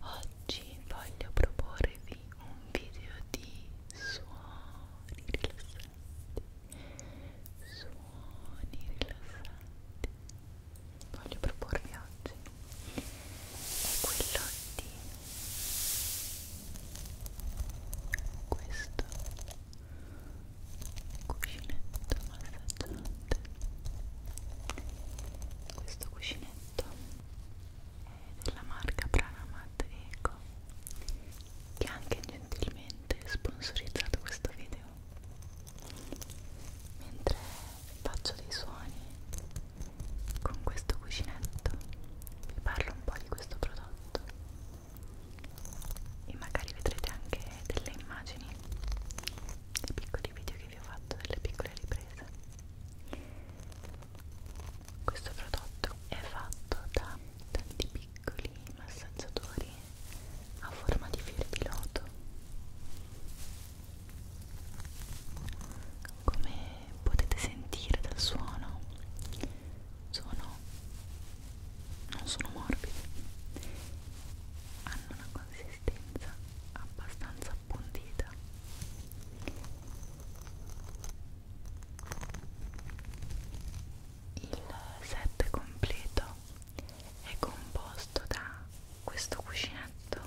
Oggi voglio proporvi un video di suoni rilassanti. Suoni rilassanti. Voglio proporvi oggi è quello di questo cuscinetto massaggiante questo cuscinetto è della marca Pranamat Eco che ha anche gentilmente sponsorizzato questo video mentre faccio dei suoni con questo cuscinetto vi parlo un po' di questo prodotto e magari vedrete anche delle immagini dei piccoli video che vi ho fatto delle piccole riprese questo prodotto è fatto da tanti piccoli massaggiatori a forma di fiore di loto come potete sentire dal suono sono non sono morbidi hanno una consistenza abbastanza appuntita il set completo è composto da questo cuscinetto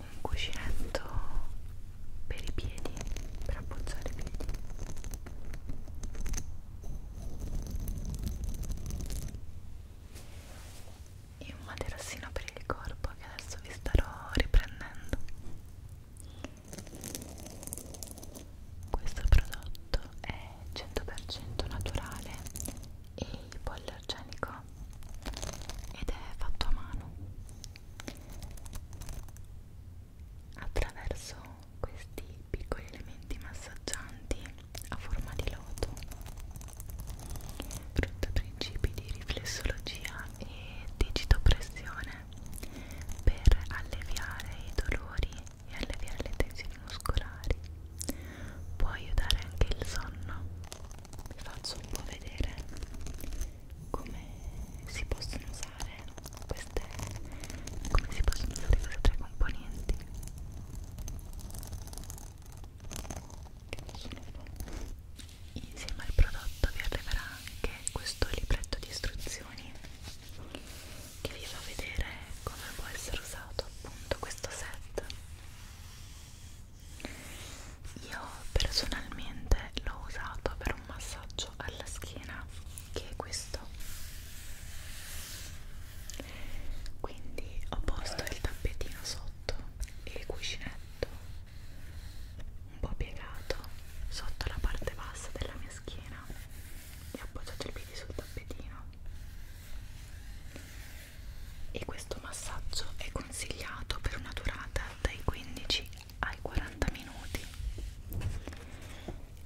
un cuscinetto per i piedi, per appoggiare i piedi. E un materassino per il corpo che adesso vi starò riprendendo. Questo prodotto è 100% naturale e ipoallergenico ed è fatto a mano attraverso questi piccoli elementi massaggianti a forma di loto frutto principi di riflessologia e digitopressione per alleviare i dolori e alleviare le tensioni muscolari può aiutare anche il sonno vi faccio un po' vedere come si possono usare queste come si possono usare queste tre cioè, componenti che possono fare insieme al prodotto vi arriverà anche questo libretto di istruzioni che vi fa vedere come può essere usato appunto questo set io personalmente l'ho usato per un massaggio alla schiena che è questo quindi ho posto il tappetino sotto e il cuscinetto un po' piegato sotto la parte bassa della mia schiena e ho appoggiato i piedi sul tappetino e questo massaggio è consigliato per una durata dai 15 ai 40 minuti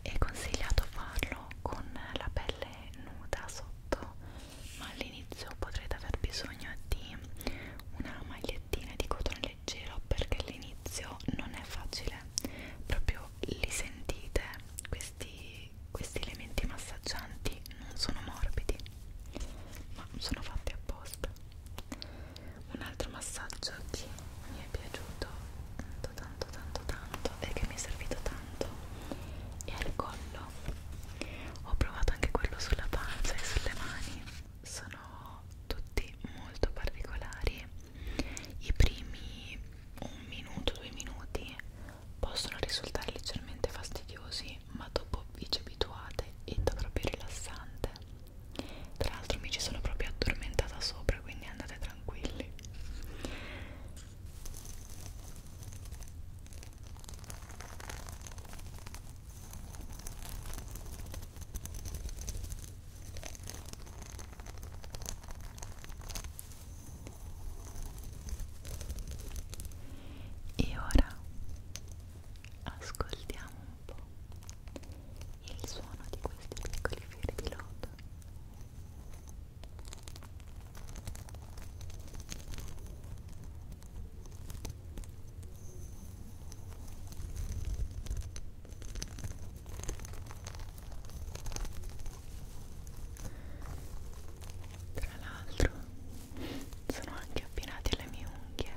è consigliato farlo con la pelle nuda sotto ma all'inizio potrete aver bisogno di una magliettina di cotone leggero perché all'inizio non è facile proprio li sentite questi, questi elementi massaggianti non sono morbidi ma sono fatti apposta un altro massaggio che mi è piaciuto tanto tanto tanto tanto e che mi è servito tanto è al collo ho provato anche quello sulla pancia e sulle mani sono tutti molto particolari i primi un minuto due minuti possono risultare leggermente fastidiosi ma dopo vi ci abituate ed è proprio rilassante tra l'altro mi ci sono proprio addormentata sopra quindi andate tranquilli e ora ascoltiamo un po' il suono di questi piccoli fiori di loto tra l'altro sono anche abbinati alle mie unghie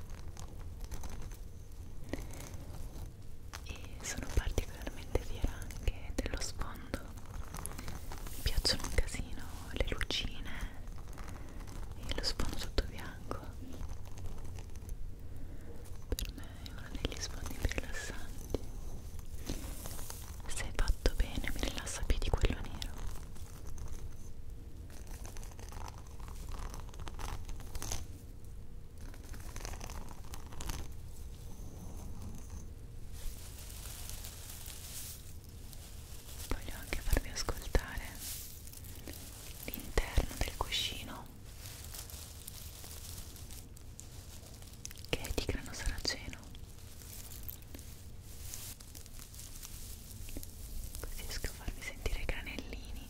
e sono particolarmente fiera anche dello sfondo mi piacciono un casino le lucine e lo sfondo tutto bianco per me è uno degli sfondi più rilassanti se fatto bene mi rilassa più di quello nero Voglio anche farvi ascoltare l'interno del cuscino che è di grano saraceno così riesco a farvi sentire i granellini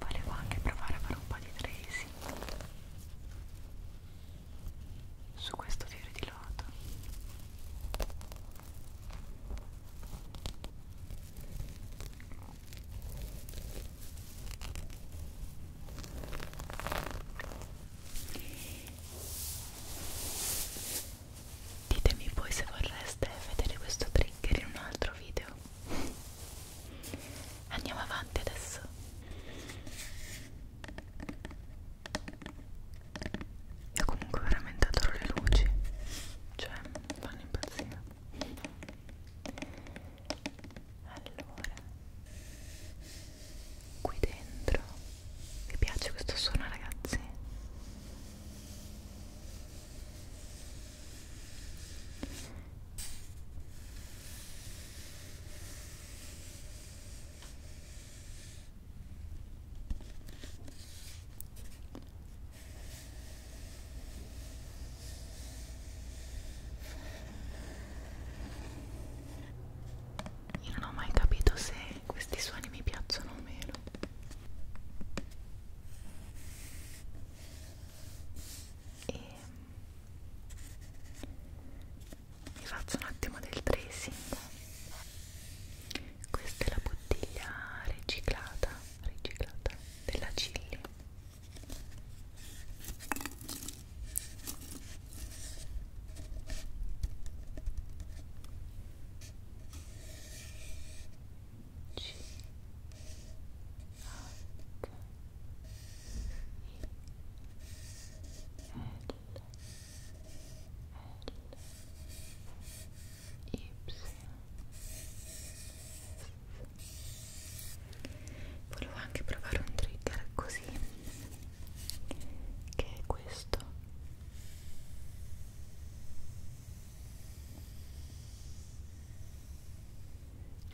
volevo anche provare a fare un po' di tracing su questo fiore di loto Ditemi poi se vorreste vedere questo trigger in un altro video andiamo avanti adesso io comunque veramente adoro le luci cioè mi fanno impazzire allora qui dentro vi piace questo suono ragazzi io non ho mai capito se questi suoni mi piacciono o meno e mi faccio un attimo del tracing questa è la bottiglia riciclata, riciclata della Cilli e c H I L L Y Volevo anche provare un trigger così che è questo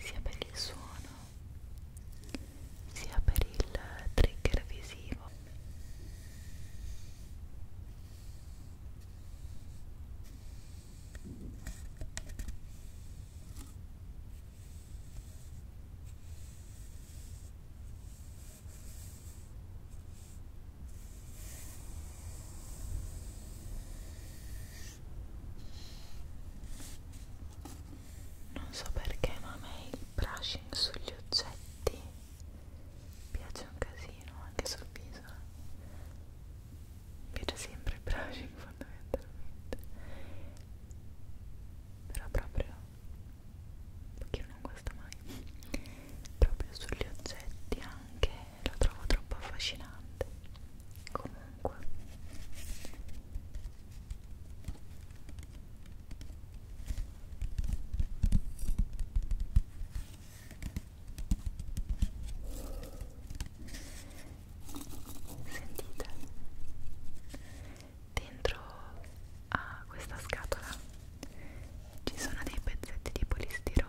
sia per il suono sia per il trigger visivo non so perché ma a me il brushing sugli oggetti piace un casino anche sul viso mi piace sempre il brushing fondamentalmente però proprio perché io non guasta mai proprio sugli oggetti anche lo trovo troppo affascinante comunque sentite dentro a questa scatola ci sono dei pezzetti di polistirolo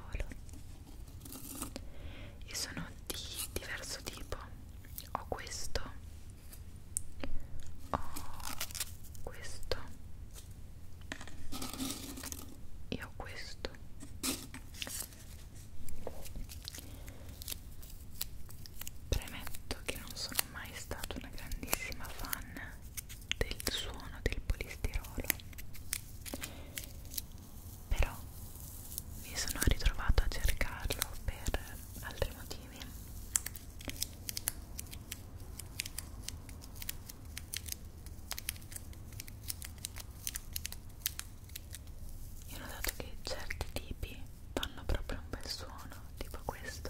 e sono di diverso tipo ho questo ho questo e ho questo premetto che non sono mai stata una grandissima fan del suono del polistirolo però mi sono ritrovato a cercarlo per altri motivi io ho notato che certi tipi fanno proprio un bel suono tipo questo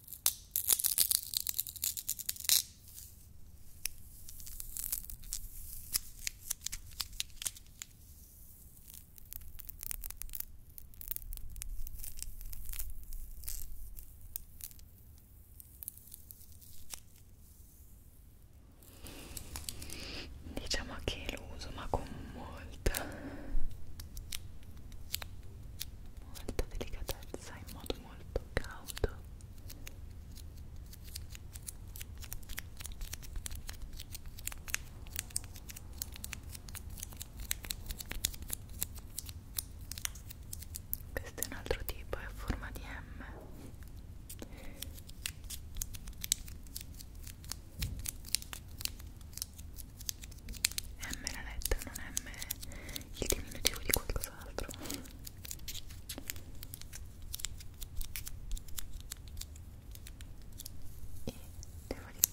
Diciamo che lo uso ma con molta molta delicatezza in modo molto cauto questo è un altro tipo, è a forma di M M la lettera, non M il diminutivo di qualcos'altro e devo dire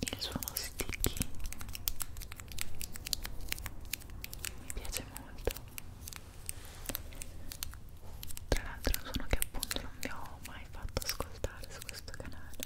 il suono sticky mi piace molto tra l'altro è un suono che appunto non vi ho mai fatto ascoltare su questo canale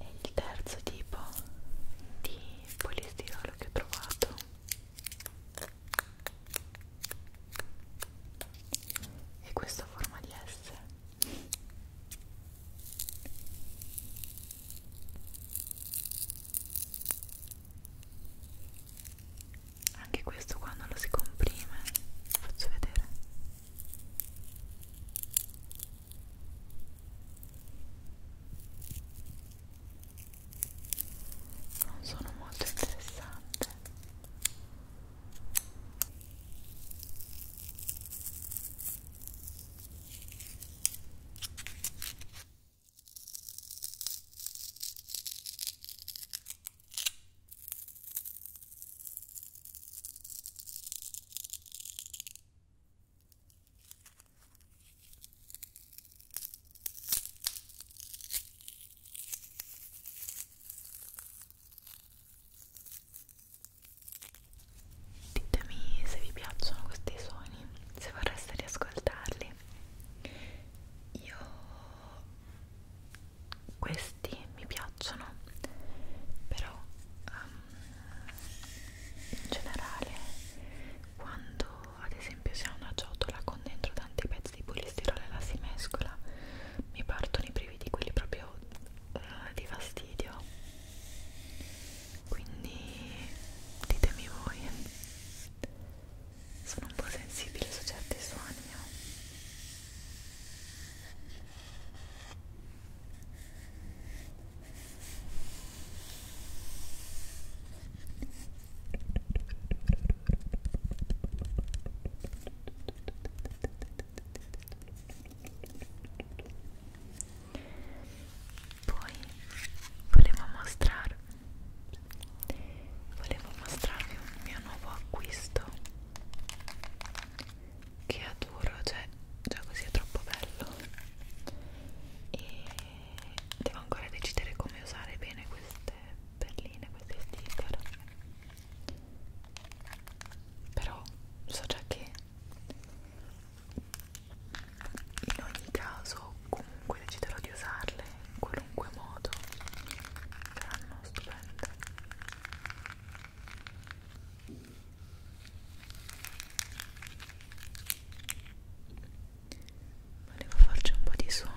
e il terzo tipo di polistirolo che ho trovato è questa forma di S anche questo qua non lo si comprime faccio vedere non sono molto interessante Ditemi se vi piacciono questi suoni, se vorreste riascoltarli. Io questi mi piacciono però um, in generale quando ad esempio si ha una ciotola con dentro tanti pezzi di polistirolo e la si mescola mi partono i brividi quelli proprio uh, di fastidio quindi ditemi voi sono un po' sensibile su certi suoni poi volevo mostrarvi volevo mostrarvi un mio nuovo acquisto che adoro, cioè già così è troppo bello e devo ancora decidere come usare bene queste perline, questi sticker però so già che in ogni caso comunque deciderò di usarle in qualunque modo saranno stupende volevo farci un po' di suoni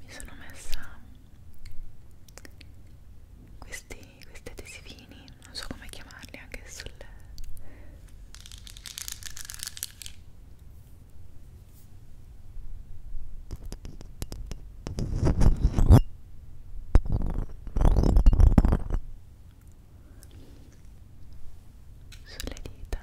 Mi sono messa questi, questi adesivini, non so come chiamarli anche sul sulle dita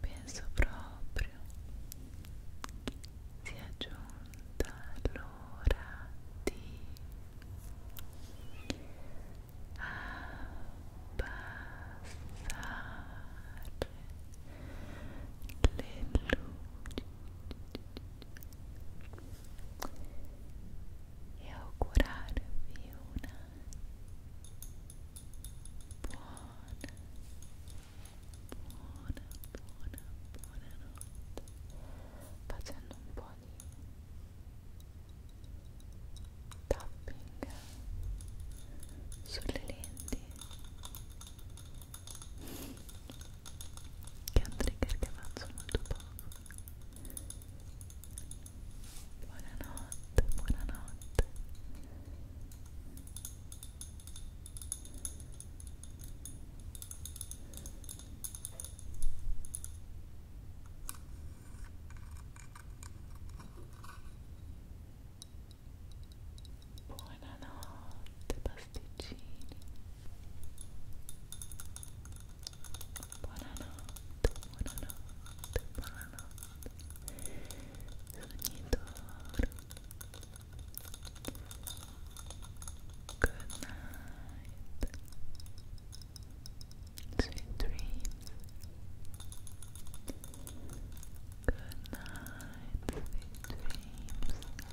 penso proprio sia giunta l'ora di abbassare le luci e augurarvi una buona, buona, buona, buona notte facendo un po' di tapping sulle lenti che è un trigger che faccio molto poco Buonanotte, buonanotte. Buonanotte pasticcini. buonanotte, buonanotte, buonanotte good night sweet dreams good night, sweet dreams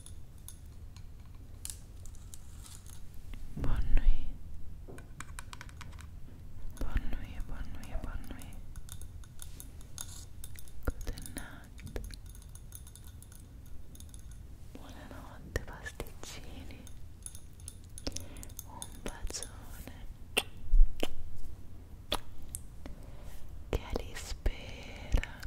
Bonne nuit. Bonne nuit, bonne nuit, bonne nuit. Good night. Buonanotte pasticcini. Un bacione. Che li spera.